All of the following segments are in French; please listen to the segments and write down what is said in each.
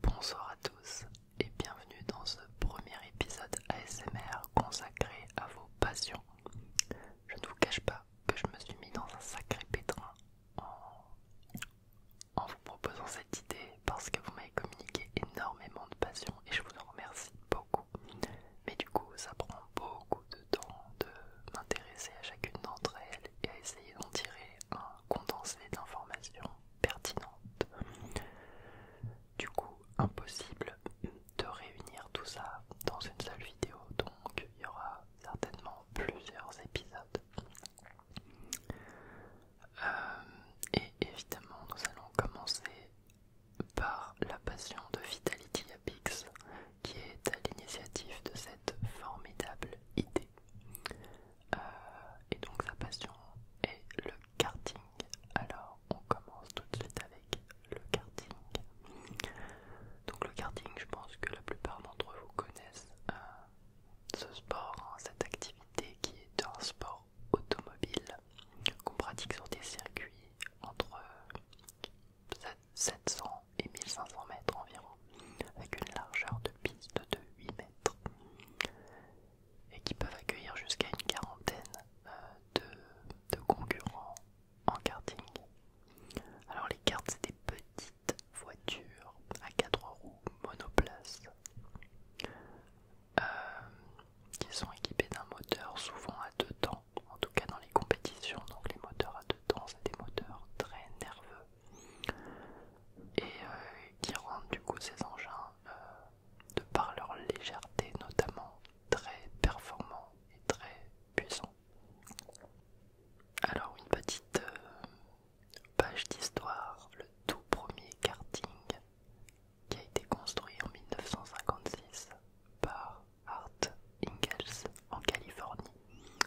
Bonsoir à tous et bienvenue dans ce premier épisode ASMR consacré à vos passions. Je ne vous cache pas que je me suis mis dans un sacré pétrin en, vous proposant cette idée parce que vous m'avez communiqué énormément de passions et je vous en remercie beaucoup. Mais du coup, ça prend beaucoup de temps de m'intéresser à chacune d'entre elles et à essayer d'en tirer un condensé d'informations pertinentes. Du coup, impossible de réunir tout ça dans une seule vidéo, donc il y aura certainement plusieurs épisodes. Euh, et évidemment, nous allons commencer par la passion de Vitality Apix, qui est à l'initiative de cette formidable idée. Euh, et donc sa passion est le karting. Alors on commence tout de suite avec le karting. Donc le karting, je pense que la plupart d'entre vous connaissent euh, ce sport, hein, cette activité qui est un sport automobile qu'on pratique sur des circuits entre 700 et 1500 mètres environ, avec une largeur de piste de 8 mètres et qui peuvent accueillir jusqu'à une quarantaine euh, de, concurrents en karting. Alors les cartes c'est des petites voitures à quatre roues monoplace euh, qui sont équipées d'un moteur souvent à deux temps, en tout cas dans les compétitions. Donc les moteurs à deux temps c'est des moteurs très nerveux et euh, qui rendent du coup ces engins, euh, de par leur légèreté notamment, très performants et très puissants. Alors une petite euh, page d'histoire, le tout premier karting qui a été construit en 1956 par Art Ingalls en Californie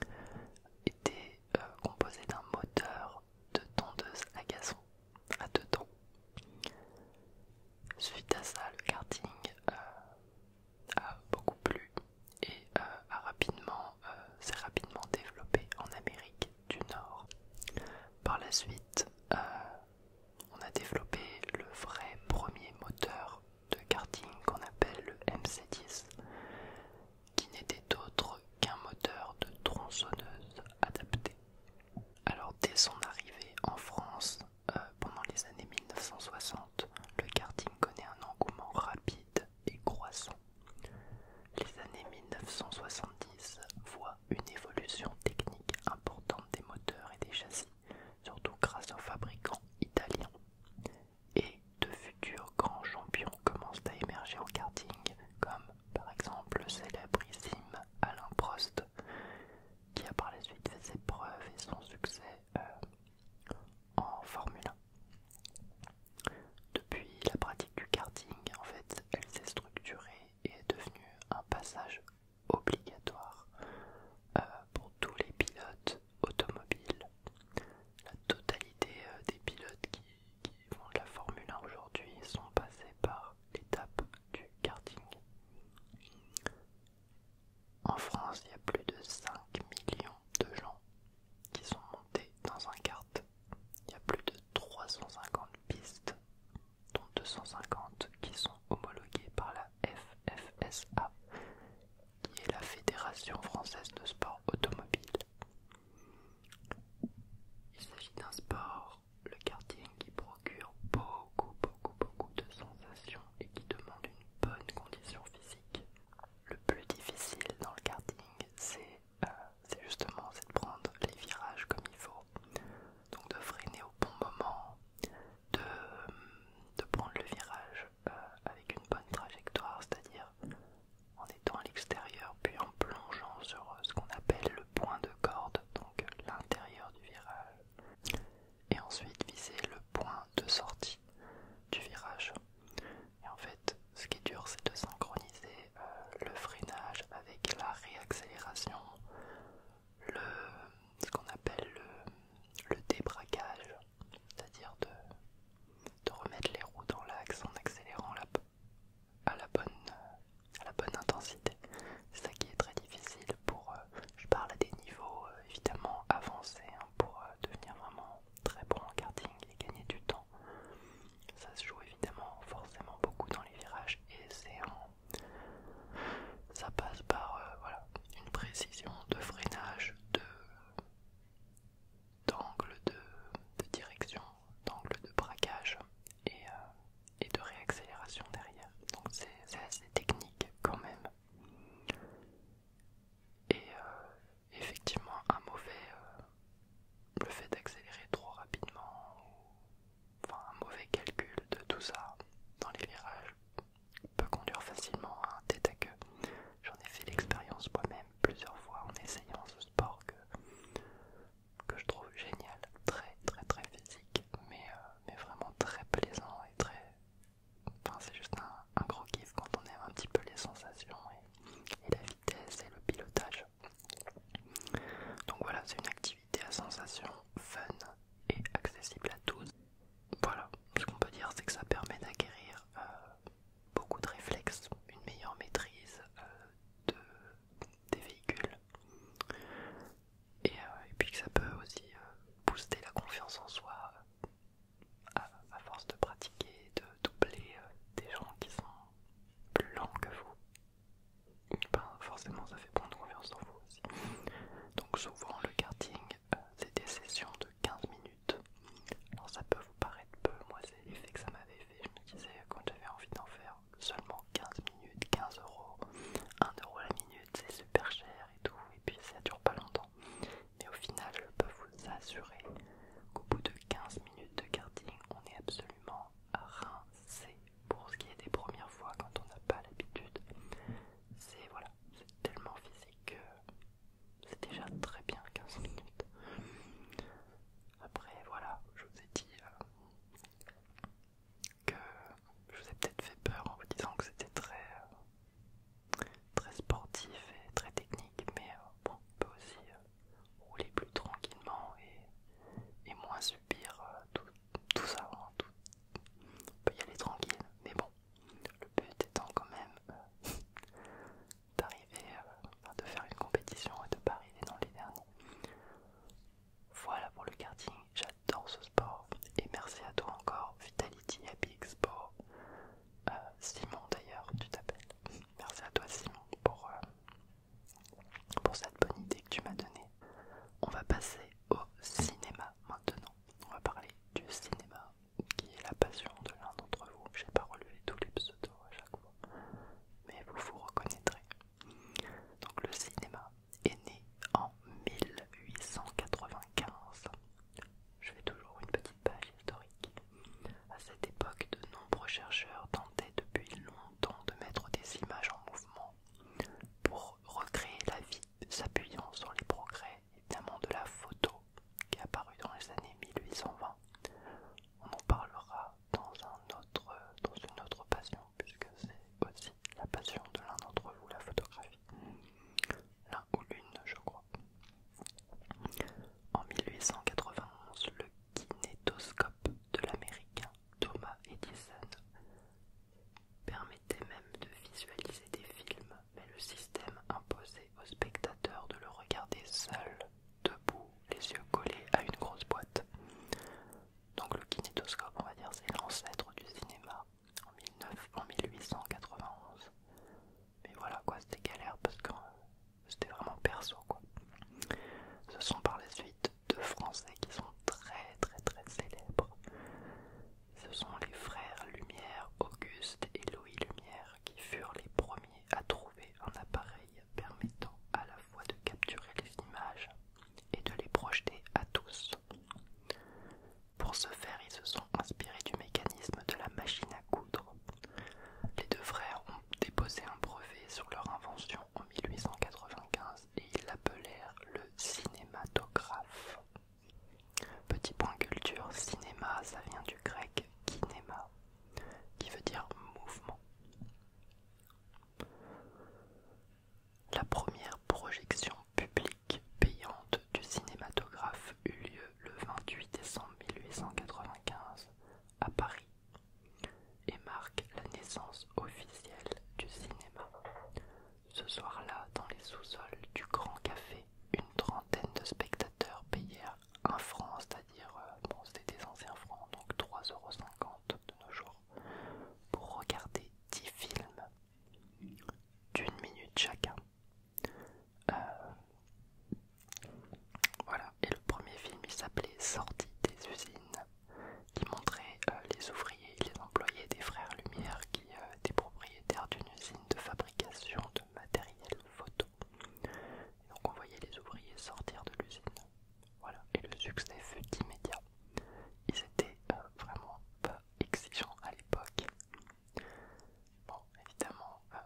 était composé d'un moteur de tondeuse à gazon à deux temps. Suite à ça, le karting euh, a beaucoup plu et euh, euh, s'est rapidement développé en Amérique du Nord. Par la suite, on a développé le vrai premier moteur de karting qu'on appelle le MC10 qui n'était autre qu'un moteur de tronçonneuse adapté. Alors dès son arrivée en France, euh, pendant les années 1960, le karting connaît un engouement rapide et croissant. Les années 1970 voient une évolution technique importante des moteurs et des châssis, surtout grâce aux fabricants italiens et de futurs grands champions commencent à émerger au karting, comme par exemple le célébrissime Alain Prost, qui a par la suite fait ses preuves et son succès euh, en Formule 1. Depuis, la pratique du karting, en fait, elle s'est structurée et est devenue un passage obligatoire euh, pour tous les pilotes automobiles. La totalité euh, des pilotes qui font de la Formule 1 aujourd'hui sont passés par l'étape du karting. En France, il y a plus de 5 millions de gens qui sont montés dans un kart. Il y a plus de 350 pistes, dont 250 qui sont homologuées par la FFSA, qui est la Fédération française de sport automobile. Il s'agit d'un sport, le karting, qui procure beaucoup, beaucoup, beaucoup de sensations et qui demande une bonne condition physique. Le plus difficile dans le karting, c'est euh, c'est justement de prendre les virages comme il faut, donc de freiner au bon moment, de, de prendre le virage euh, avec une bonne trajectoire, c'est-à-dire en étant à l'extérieur puis en plongeant sur euh, ce qu'on appelle le point de corde, donc l'intérieur du virage, et ensuite viser le point de sortie du virage. Et en fait, ce qui est dur, c'est de synchroniser euh, le freinage avec la réaccélération, le, ce qu'on appelle le débraquage, c'est-à-dire de de remettre les roues dans l'axe en accélérant à, la bonne, euh, à la bonne intensité. C'est ça qui est très difficile pour, euh, je parle à des niveaux euh, évidemment avancés, hein, pour devenir vraiment très bon en karting et gagner du temps. Ça se joue évidemment forcément beaucoup dans les virages et c'est Ça passe par voilà, une précision de freinage, de d'angle de, direction, d'angle de braquage et, euh, de réaccélération derrière. Donc c'est assez technique quand même. Et euh, effectivement un mauvais euh, le fait d'accélérer trop rapidement enfin un mauvais calcul de tout ça dans les virages peut conduire facilement à un tête à queue. J'en ai fait l'expérience moi-même plusieurs fois en essayant ce sport que, je trouve génial, très très très physique, mais, euh, mais vraiment très plaisant et très... Enfin, c'est juste un, gros kiff quand on aime un petit peu les sensations et, la vitesse et le pilotage. Donc voilà, c'est une activité à sensations fun et accessible à tous. Voilà, ce qu'on peut dire c'est que ça permet d'acquérir euh, beaucoup de réflexes, une meilleure maîtrise euh, des véhicules euh, et, puis que ça peut aussi euh, booster la confiance en soi à, force de pratiquer, de doubler des gens qui sont plus lents que vous. Ben, forcément ça fait prendre confiance en vous aussi. Donc souvent le karting c'est des sessions de 15 minutes alors ça peut vous paraître peu, moi c'est l'effet que ça m'avait fait. Je me disais quand j'avais envie d'en faire seulement 15 minutes, 15 euros, 1 euro la minute, c'est super cher et tout, et puis ça dure pas longtemps. Mais au final, je peux vous assurer qu'au bout de 15 minutes de carding on est absolument rincé pour ce qui est des premières fois quand on n'a pas l'habitude. C'est voilà, c'est tellement physique que c'est déjà très bien 15 minutes. Après, voilà, je vous ai dit euh, que je vous ai peut-être fait peur en vous disant que c'était très, euh, très sportif et très technique, mais euh, bon, on peut aussi rouler plus tranquillement et, moins subir tout, ça. Hein, on peut y aller tranquille, mais bon, le but étant quand même d'arriver, euh, de faire une compétition et de parier dans les derniers. Voilà pour le karting, j'adore ce sport et merci à toi encore, Vitality Happy Expo. Euh, Simon d'ailleurs, tu t'appelles. Merci à toi Simon pour, euh, pour cette bonne idée que tu m'as donnée. On va passer au cinéma maintenant. On va parler du cinéma qui est la passion de l'un d'entre vous. J'ai pas relevé tous les mais vous vous reconnaîtrez. Donc le cinéma est né en 1895. Je fais toujours une petite page historique. À cette époque, de nombreux chercheurs tentaient depuis longtemps de mettre des images en mouvement pour recréer la vie, s'appuyant sur les progrès évidemment de la photo qui est apparu dans les années 1820. On en parlera dans, un autre, dans une autre passion, puisque c'est aussi la passion de l'un d'entre vous, la photographie. L'un ou l'une, je crois. En 1891, le kinétoscope de l'américain Thomas Edison permettait même de visualiser des films, mais le système imposé au aux spectateurs de le regarder seul, debout, les yeux collés à une grosse boîte. Donc le kinétoscope, on va dire, c'est l'ancêtre du cinéma en, 19, en 1891. Mais voilà quoi, c'était galère parce que euh, c'était vraiment perso quoi. Ce sont par la suite deux Français qui sont très très très célèbres. Ce sont les frères Lumière, Auguste et Louis Lumière qui furent les premiers à trouver un appareil permettant à la fois de capturer les images et de les projeter à tous. Pour ce faire, ils se sont inspirés du mécanisme de la machine à coudre. Les deux frères ont déposé un brevet sur leur invention en 1895 et ils l'appelèrent le cinématographe. Petit point culture, cinéma, ça vient du grec kinéma, qui veut dire mouvement. La première projection publique payante du cinématographe eut lieu le 28 décembre 1895 à Paris et marque la naissance officielle du cinéma. Ce soir-là, dans les sous-sols du Grand Café, une trentaine de spectateurs payèrent franc, c'est-à-dire, euh, bon, c'était des anciens francs, donc 3,50€ de nos jours, pour regarder 10 films d'une minute chacun. Euh, voilà, et le premier film il s'appelait Sortie des usines, qui montrait euh, les ouvriers les employés des frères Lumière qui étaient propriétaires d'une usine de fabrication de matériel photo donc on voyait les ouvriers sortir de l'usine. Voilà, et le succès fut immédiat. Ils étaient euh, vraiment pas exigeants à l'époque. Bon, évidemment, euh,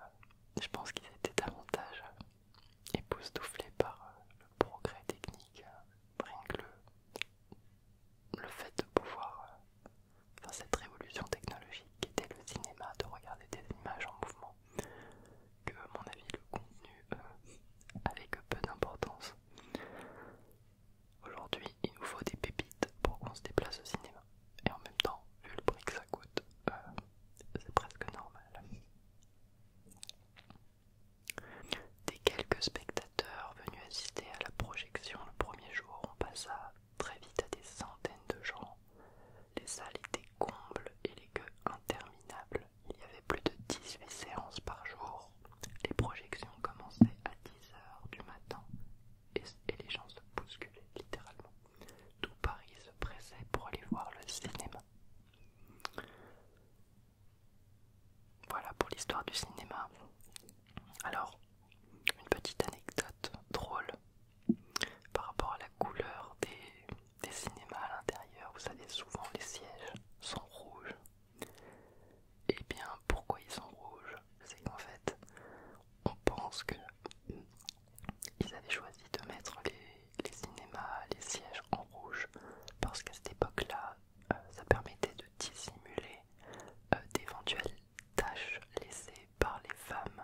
je pense qu'ils étaient davantage euh, époustouflés par le progrès technique, rien que le, fait de pouvoir faire cette révolution technologique qui était le cinéma, de regarder des images en mouvement que, à mon avis, le contenu euh, avec peu d'importance. Aujourd'hui, il nous faut des pépites pour qu'on se déplace au cinéma. Et en même temps, vu le prix que ça coûte, euh, c'est presque normal. Des quelques spectateurs venus assister à la projection le premier jour, on passa très vite à des centaines de gens les salles étaient combles et les queues interminables. Il y avait plus de 18 séances par jour. Les projections commençaient à 10h du matin et, et les gens se bousculaient littéralement. Tout Paris se pressait pour aller voir le cinéma. Voilà pour l'histoire du cinéma. Alors, une petite anecdote drôle par rapport à la couleur des, cinémas à l'intérieur, vous savez, souvent les sièges sont rouges. Et eh bien, pourquoi ils sont rouges C'est qu'en fait, on pense que avaient choisi de mettre les, cinémas, les sièges en rouge, parce qu'à cette époque-là, euh, ça permettait de dissimuler euh, d'éventuelles tâches laissées par les femmes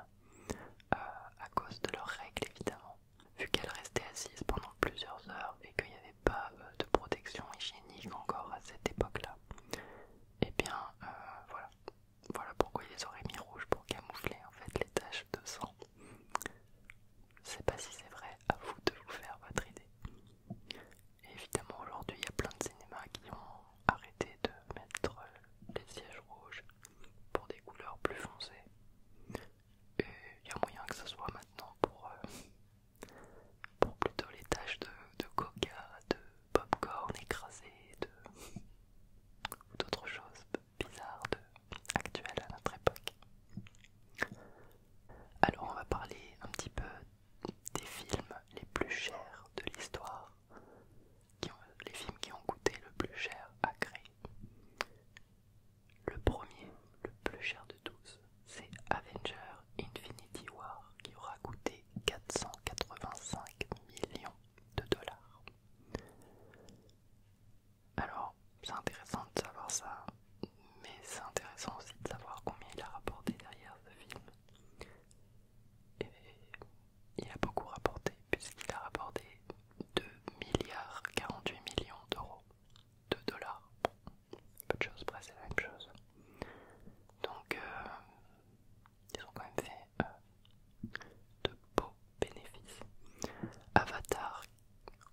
euh, à cause de leurs règles évidemment. Vu qu'elles restaient assises pendant plusieurs heures et qu'il n'y avait pas euh, de protection hygiénique encore à cette époque-là, et eh bien euh, voilà. Voilà pourquoi ils les auraient mis rouges pour camoufler en fait les taches de sang. Je sais pas si c'est vrai, à vous de vous faire votre idée. évidemment aujourd'hui il y a plein de cinémas qui ont arrêté de mettre les sièges rouges pour des couleurs plus foncées. Et il y a moyen que ce soit maintenant pour, euh, pour plutôt les taches de, coca, de popcorn écrasé, d'autres choses bizarres actuelles à notre époque. Alors on va parler un petit peu des films les plus chers de l'histoire les films qui ont coûté le plus cher à créer. Le premier, le plus cher de tous, c'est Avenger Infinity War qui aura coûté 485 millions de dollars. Alors, c'est intéressant de savoir ça, mais c'est intéressant aussi de savoir combien il a rapporté derrière ce film. Et il a beaucoup rapporté puisqu'il a rapporté 2 milliards 48 millions d'euros, de dollars, peu de choses, presque c'est la même chose. Donc euh, ils ont quand même fait euh, de beaux bénéfices. Avatar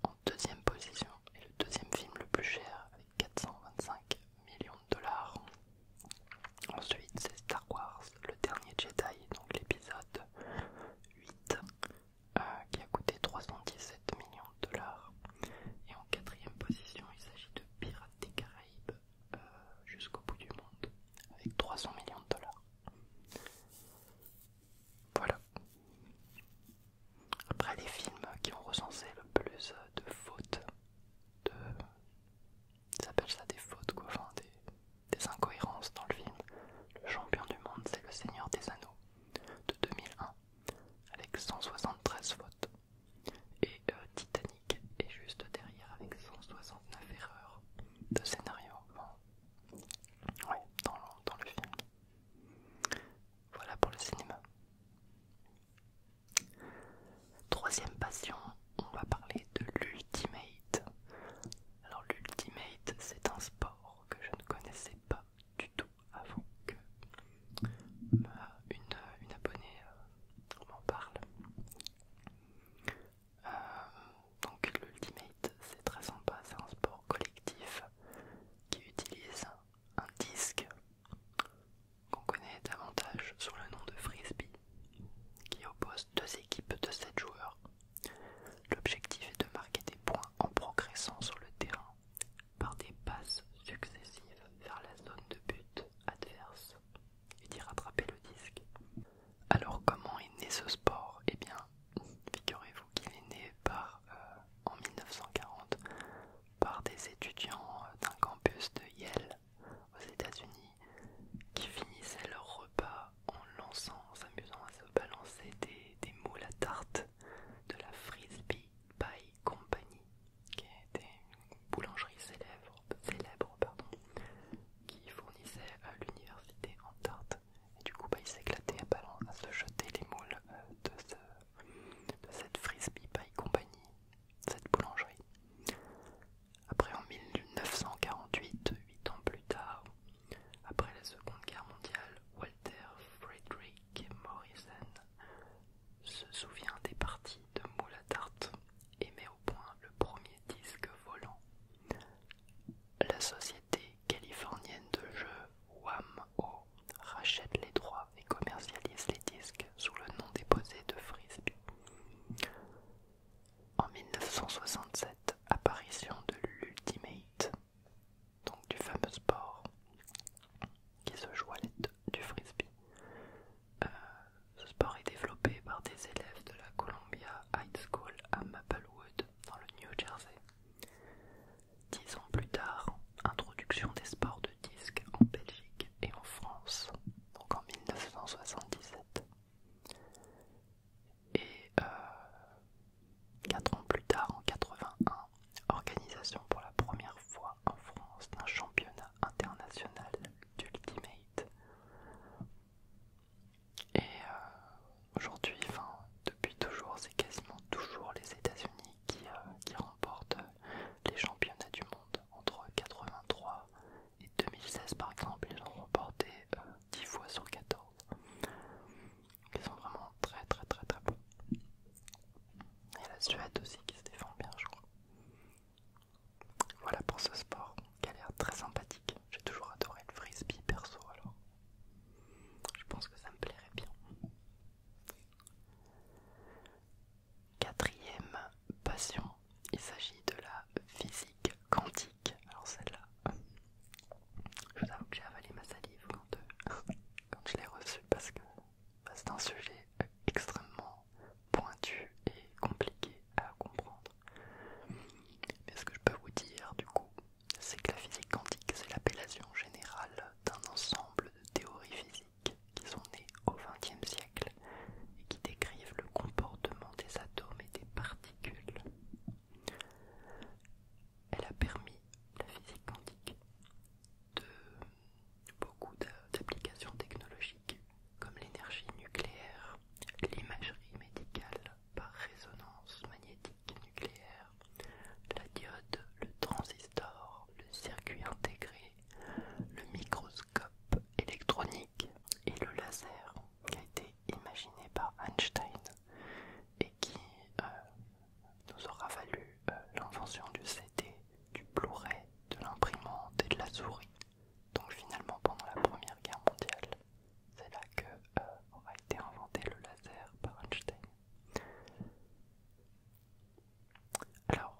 en deuxième position est le deuxième film le plus cher avec 425 millions de dollars. Ensuite c'est Star Wars le Dernier Jedi, donc l'épisode 8, euh, qui a coûté 317 millions de dollars. Et en quatrième position, il s'agit de Pirates des Caraïbes euh, jusqu'au bout du monde, avec 300 millions de dollars. Voilà. Après les films qui ont recensé le plus de fautes de ils appellent ça des fautes, des, incohérences dans le film. Le champion du monde, c'est Le Seigneur des Anneaux de 2001 avec 173 fautes. Et euh, Titanic est juste derrière avec 169 erreurs de scénario. dans, dans le film. Voilà pour le cinéma. Troisième passion, on va parler de l'ultimate. Alors l'ultimate, c'est un sport que je ne connaissais pas du tout avant que une, abonnée euh, m'en parle. Euh, donc l'ultimate, c'est très sympa, c'est un sport collectif qui utilise un disque qu'on connaît davantage sous le nom de frisbee qui oppose deux équipes de 7 joueurs L'objectif est de marquer des points en progressant sur le terrain par des passes successives vers la zone de but adverse et d'y rattraper le disque. Alors comment est né ce sport Eh bien, figurez-vous qu'il est né par, euh, en 1940 par des étudiants euh, d'un campus de Yale aux États-Unis qui finissaient leur repas en lançant, s'amusant à se balancer des, moules à tarte de la Frisbee Pie Company, qui était une boulangerie célèbre, qui fournissait à l'université en tarte. Et du coup, bah, ils s'éclataient à, se jeter les moules euh, de, de cette Frisbee Pie Company, cette boulangerie. Après en 1948, 8 ans plus tard, après la Seconde Guerre mondiale, Walter Frederick Morrison se souvient des parties de moule tarte et met au point le premier disque volant. La société californienne de jeux wham rachète les droits et commercialise les disques sous le nom déposé de Frisbee. En 1967, apparition de l'Ultimate, donc du fameux sport qui se joue à l'aide du frisbee. Euh, ce sport est développé par des élèves de la Columbia High School à Maplewood, dans le New Jersey. Dix ans plus tard, introduction des sports de disque en Belgique et en France, donc en 1977. Et euh, quatre 4 ans plus tard, en 81, organisation pour la première fois en France d'un championnat international d'ultimate. Et euh, aujourd'hui, enfin depuis toujours, c'est quasiment toujours les États-Unis qui, euh, qui remportent les championnats du monde entre 83 et 2016 par exemple, ils ont remporté 10 euh, fois sur 14. Ils sont vraiment très très très très bons. Et la Suède aussi qui se défend bien je crois. Voilà pour ce sport qui a l'air très sympathique. J'ai toujours adoré le frisbee perso alors. Je pense que ça me plairait bien. Quatrième passion, il s'agit de la physique quantique. Alors celle-là, je vous avoue que j'ai avalé ma salive quand, euh, quand je l'ai reçue parce que c'est un sujet extrêmement pointu et compliqué à comprendre. Mais ce que je peux vous dire du coup, c'est que la physique quantique, c'est l'appellation générale d'un ensemble de théories physiques qui sont nées au XXe siècle et qui décrivent le comportement des atomes et des particules elle a permis la physique quantique de beaucoup d'applications technologiques comme l'énergie nucléaire, l'imagerie médicale par résonance magnétique nucléaire, la diode, le transistor, le circuit intégré, le microscope électronique et le laser qui a été imaginé par Einstein et qui euh, nous aura valu euh, l'invention du CD, du Blu-ray, de l'imprimante et de la souris. Donc finalement pendant la Première Guerre mondiale, c'est là que euh, été inventé le laser par Einstein. Alors,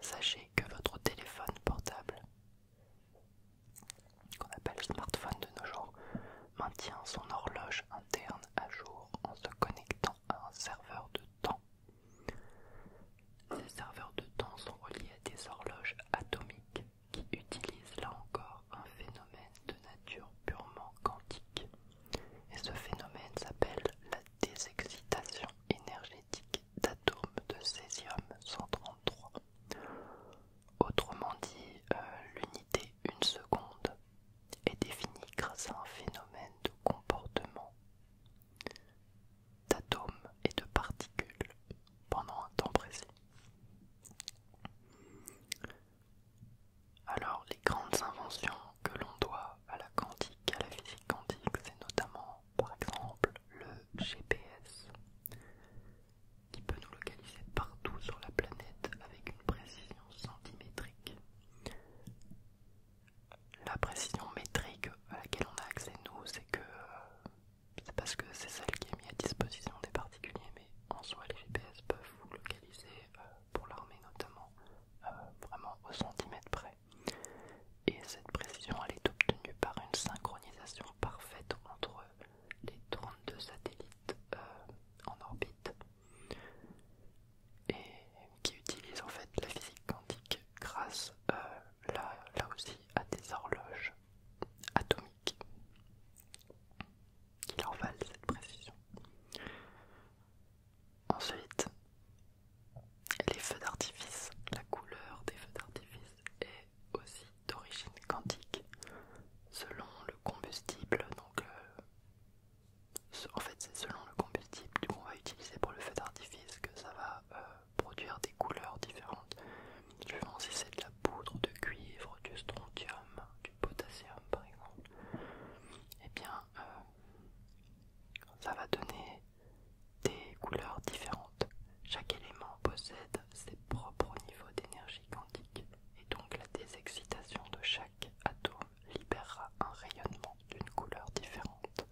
sachez que votre téléphone portable qu'on appelle smartphone de nos jours, maintient son horloge interne à jour en se connectant à un serveur de temps. Ces serveurs de temps sont reliés à des horloges atomiques qui utilisent là encore un phénomène de nature purement quantique. Et ce phénomène s'appelle la désexcitation énergétique d'atomes de césium 133. Autrement dit, euh, l'unité une seconde est définie grâce à un phénomène de comportement d'atomes et de particules pendant un temps précis. Alors, les grandes inventions que l'on doit à la quantique, à la physique quantique, c'est notamment par exemple le GPS, qui peut nous localiser partout sur la planète avec une précision centimétrique. La précision métrique à laquelle on a accès nous, c'est que euh, c'est parce que c'est celle qui est mise à disposition des particuliers, mais en soi les GPS peuvent vous localiser euh, pour l'armée notamment euh, vraiment au centimètre près. Et cette précision elle est obtenue par une synchronisation parfaite entre euh, les 32 satellites euh, en orbite et qui utilisent en fait la physique quantique grâce euh, là, là aussi à des horloges atomiques qui leur valent cette précision. Ensuite, les feux d'artifice, la couleur des feux d'artifice est aussi d'origine quantique selon le combustible. Donc, euh, en fait, c'est selon le combustible qu'on va utiliser pour le feu d'artifice que ça va euh, produire des couleurs différentes. Je si c'est de la poudre de cuivre, du strontium, du potassium par exemple. Et eh bien, euh, ça va donner des couleurs différentes. Chaque élément possède ses propres niveaux d'énergie quantique et donc la désexcitation de chaque atome libérera un rayonnement d'une couleur différente.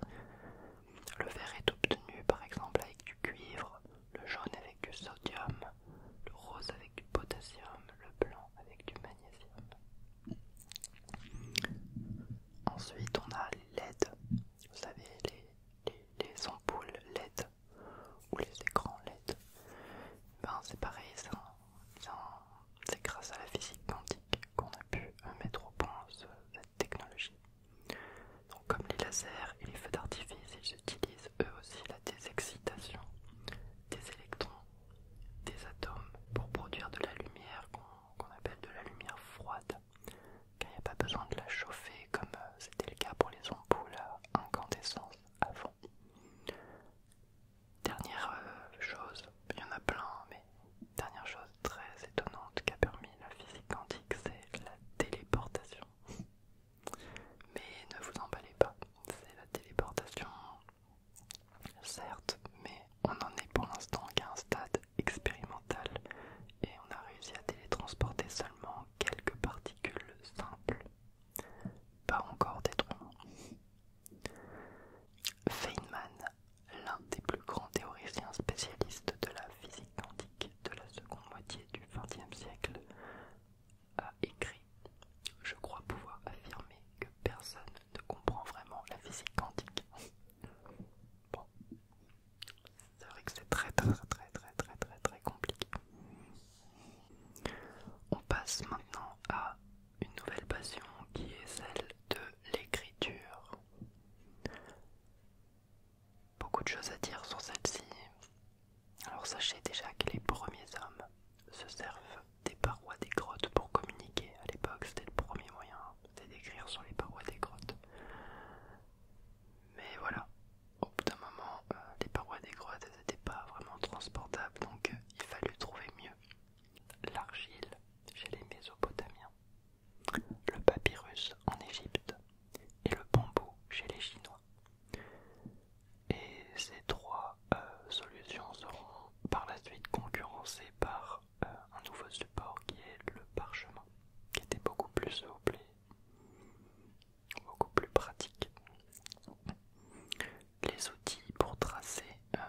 Le vert est obtenu par exemple avec du cuivre, le jaune avec du sodium, le rose avec du potassium, le blanc avec du magnésium. Ensuite on a les LED, vous savez les ampoules LED ou les écrans LED, ben, c'est pareil, c'est grâce à la physique quantique qu'on a pu euh, mettre au point cette technologie. Donc comme les lasers et les feux d'artifice, ils utilisent eux aussi la désexcitation des électrons, des atomes pour produire de la lumière qu'on appelle de la lumière froide car il n'y a pas besoin de la chauffer comme euh, c'était le cas pour les ampoules à euh, incandescence avant. Dernière euh, chose, il y en a plein, mais dernière chose très étonnante qu'a permis la physique quantique, c'est la téléportation. Mais ne vous emballez pas, c'est la téléportation, certes, mais on en est pour l'instant qu'à un stade expérimental et on a réussi à télétransporter seulement quelques particules simples, pas encore des Feynman, l'un des plus grands théoriciens spécialistes de la physique quantique de la seconde moitié du XXe siècle, a écrit Je crois pouvoir affirmer que personne ne comprend vraiment la physique quantique. C'est vrai que c'est très très très très très très très compliqué. On passe maintenant à une nouvelle passion qui est celle de l'écriture. Beaucoup de choses à dire sur celle-ci. Alors sachez déjà que les premiers hommes se servent des parois des grottes pour communiquer. À l'époque, c'était le premier moyen, hein, c'était d'écrire sur les parois des grottes. Mais voilà, au bout d'un moment, euh, les parois des grottes n'étaient pas vraiment transportables, donc euh, il fallut trouver mieux. L'argile chez les Mésopotamiens, le papyrus en Égypte et le bambou chez les Chinois. Et ces trois euh, solutions seront par la suite concurrencées par un nouveau support qui est le parchemin, qui était beaucoup plus souple beaucoup plus pratique. Les outils pour tracer, euh,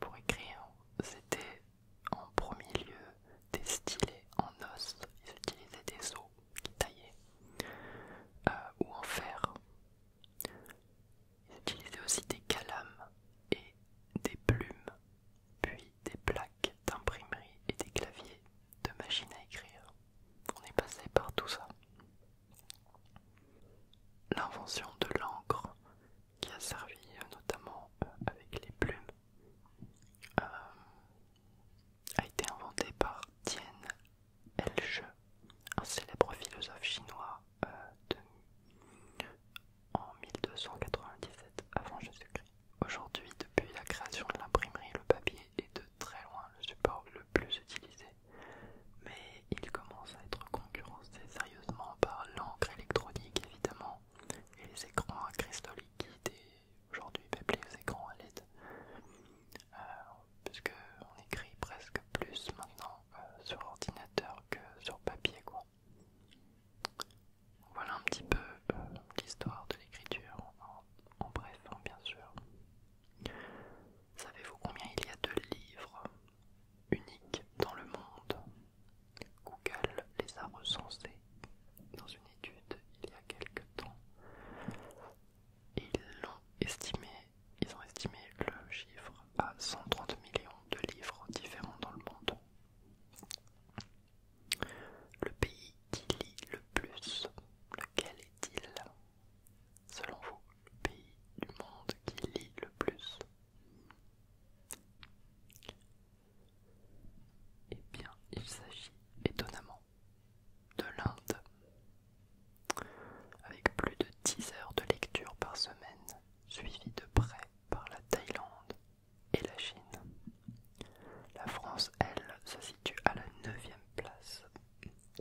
pour écrire, c'était en premier lieu des stylés en os, ils utilisaient des os qui taillaient, euh, ou en fer. Ils utilisaient aussi des calames et des plumes, puis des plaques d'imprimerie et des claviers de machine à écrire. On est passé par tout ça. L'invention de l'encre qui a servi euh, notamment euh, avec les plumes euh, a été inventée par Tien Elche, un célèbre philosophe chinois en 1297 avant Jésus-Christ. Aujourd'hui, depuis la création de l'imprimerie, le papier est de très loin le support le plus utilisé, mais il commence à être concurrencé sérieusement par l'encre électronique évidemment et les écrans à cristaux liquides et aujourd'hui même les écrans à LED, Puisqu'on euh, puisque on écrit presque plus maintenant euh, sur ordinateur que sur papier quoi. Voilà un petit peu euh, l'histoire de l'écriture en, bref, hein, bien sûr. Savez-vous combien il y a de livres uniques dans le monde Google les a recensés dans une étude il y a quelque temps. Ils l'ont estimé, ils ont estimé le chiffre à 130 millions de livres différents dans le monde. Le pays qui lit le plus, lequel est-il Selon vous, le pays du monde qui lit le plus Eh bien, il s'agit étonnamment de l'Inde. Avec plus de 10 heures de lecture par semaine, suivie de près par la Thaïlande, et la Chine. La France, elle, se situe à la 9ème place.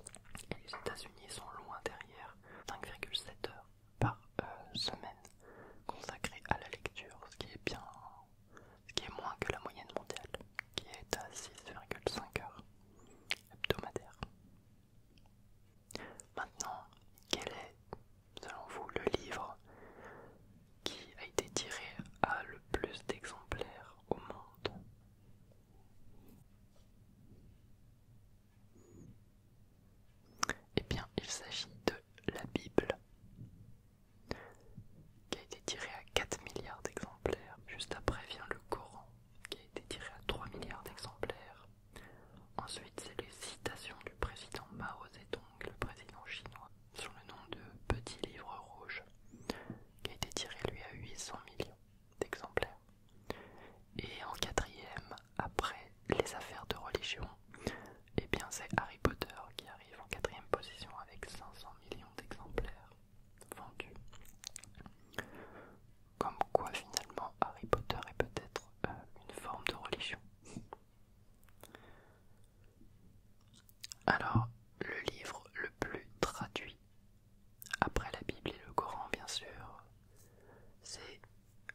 Et les États-Unis sont loin derrière, 5,7 heures par euh, semaine consacrées à la lecture, ce qui est bien, ce qui est moins que la moyenne mondiale, qui est à 6,5 heures hebdomadaires. Maintenant, quel est, selon vous, le livre qui a été tiré à le plus d'exemplaires au monde. Eh bien, il s'agit de la Bible, qui a été tirée à 4 milliards d'exemplaires. Juste après vient le Coran, qui a été tiré à 3 milliards d'exemplaires. Ensuite, c'est les citations du président Mao Zedong, le président chinois, sous le nom de Petit Livre Rouge, qui a été tiré lui à 800 millions d'exemplaires. Et en quatrième, après les affaires de religion, et eh bien c'est Harry Potter qui arrive en quatrième position avec 500 millions d'exemplaires vendus. Comme quoi finalement Harry Potter est peut-être euh, une forme de religion. Alors, le livre le plus traduit, après la Bible et le Coran bien sûr, c'est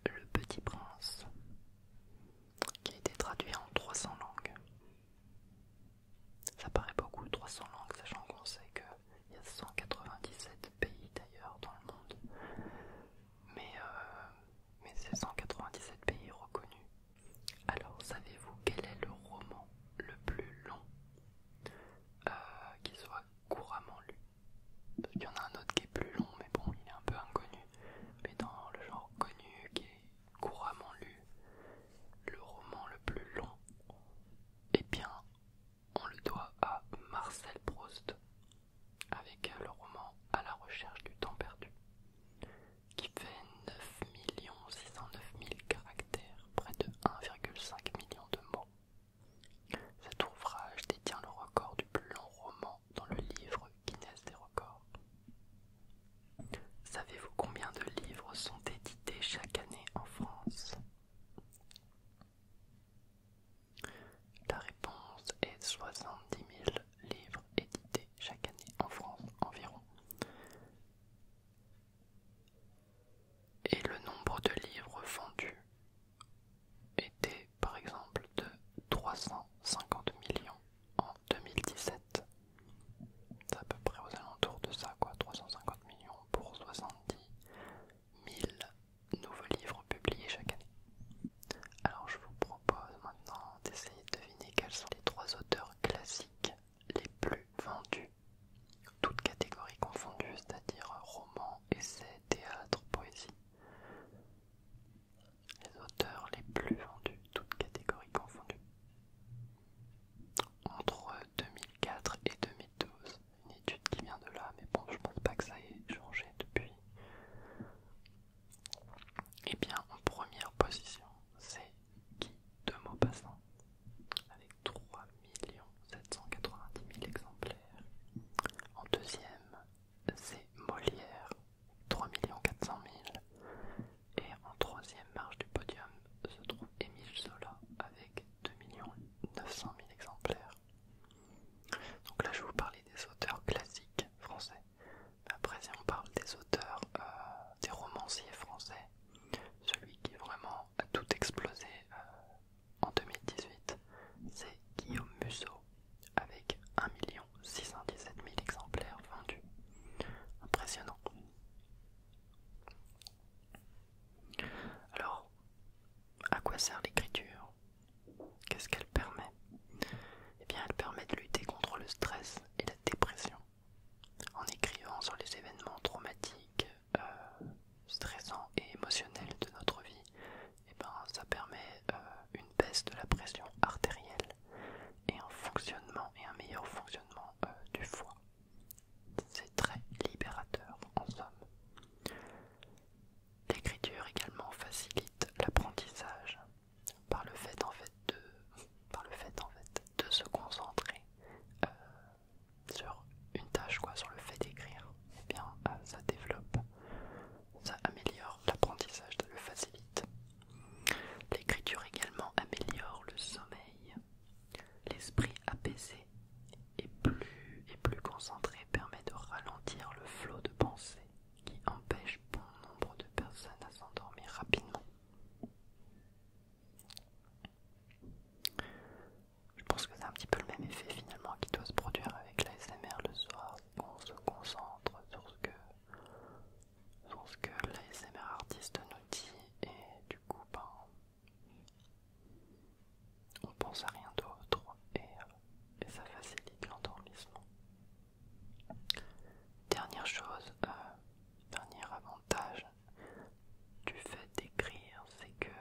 Le Petit Prince, qui a été traduit en 300 langues. Ça paraît beaucoup, 300 langues, sachant qu'on sait qu'il y a 197 pays d'ailleurs dans le monde. Mais, euh, mais c'est 197 pays reconnus alors, savez-vous quel est le roman le plus long euh, qui soit couramment lu Parce y en a un autre qui est plus long, mais bon, il est un peu inconnu. Mais dans le genre connu qui est couramment lu, le roman le plus long, eh bien, on le doit à Marcel Proust avec le roman À la recherche du temps perdu qui fait 9 609 000 caractères, près de 1,5 million de mots. Cet ouvrage détient le record du plus long roman dans le livre Guinness des records. Savez-vous combien de livres sont édités chaque année en France La réponse est 70 000 livres. Édité chaque année en France environ. Et le nombre de livres vendus était par exemple de 350 millions en 2017. C'est à peu près aux alentours de ça, quoi. 350 millions pour 70 000 nouveaux livres publiés chaque année. Alors je vous propose maintenant d'essayer de deviner quels sont les trois auteurs classiques les plus vendus, toutes catégories confondues, c'est-à-dire romans, essais, théâtre, poésie. Les auteurs les plus vendus, toutes catégories confondues. Entre 2004 et 2012, une étude qui vient de là, mais bon, je pense pas que ça ait changé depuis. Et eh bien, en première position, c'est qui, de Maupassant, avec 3 790 000 exemplaires. En deuxième, c'est Molière, 3 400 000. Et en troisième marche du podium se trouve Émile Zola avec 2 900 000 exemplaires. Donc là, je vais vous parler des auteurs classiques français. Après, si on parle des auteurs, euh, des romanciers français, celui qui vraiment a tout explosé euh, en 2018, c'est Guillaume Musso, avec 1 617 000 exemplaires vendus. Impressionnant. Alors, à quoi sert l'écriture Qu'est-ce qu'elle permet Eh bien, elle permet de lutter contre le stress et la dépression en écrivant sur les événements traumatiques, euh, stressants et émotionnels de notre vie, eh ben, ça permet euh, une baisse de la pression artérielle et un fonctionnement et un meilleur fonctionnement euh, du foie. C'est très libérateur en somme. L'écriture également facilite l'apprentissage par le fait en fait de, se concentrer euh, sur une tâche, quoi, sur le fait d'écrire, eh euh, ça développe, ça améliore l'apprentissage, ça le facilite. L'écriture également améliore le sommeil, l'esprit apaisé et plus, et plus concentré permet de ralentir le flot de pensée qui empêche bon nombre de personnes à s'endormir rapidement. Je pense que c'est un petit peu le même effet finalement qui doit se produire avec l'ASMR le soir, on se concentre sur ce que, l'ASMR artiste nous dit et du coup ben, on pense à rien d'autre et, euh, et ça facilite l'endormissement. Dernière chose, euh, dernier avantage du fait d'écrire, c'est que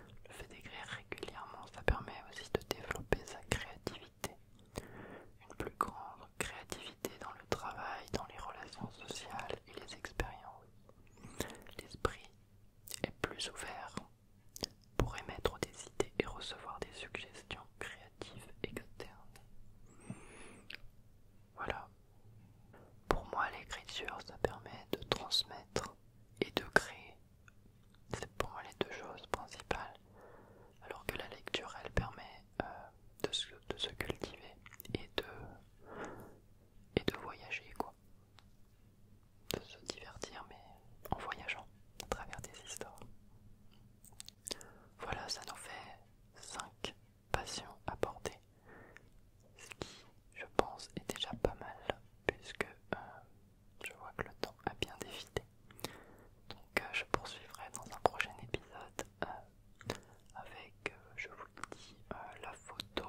le fait d'écrire régulièrement, ça permet aussi de développer sa créativité. Une plus grande créativité dans le travail, dans les relations sociales et les expériences. L'esprit est plus ouvert pour émettre des idées et recevoir des suggestions créatives externe. Voilà. Pour moi, l'écriture, ça permet de transmettre et de créer. C'est pour moi les deux choses principales. Alors que la lecture, elle permet euh, de, se, cultiver et de, et de voyager, quoi. De se divertir, mais en voyageant à travers des histoires. Voilà, ça nous fait 5 passions abordées, ce qui, je pense, est déjà pas mal, puisque euh, je vois que le temps a bien défilé. Donc, euh, je poursuivrai dans un prochain épisode euh, avec, je vous le dis, la photo,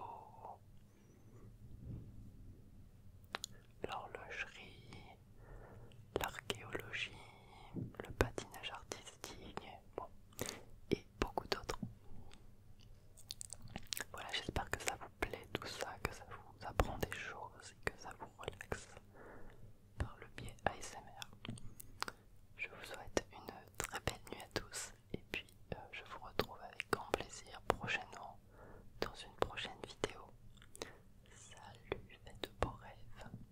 l'horlogerie, l'archéologie le patinage artistique, et beaucoup d'autres. Voilà, j'espère que ça vous plaît tout ça, que ça vous apprend des choses et que ça vous relaxe par le biais ASMR. Je vous souhaite une très belle nuit à tous et puis euh, je vous retrouve avec grand plaisir prochainement dans une prochaine vidéo. Salut, faites de beaux rêves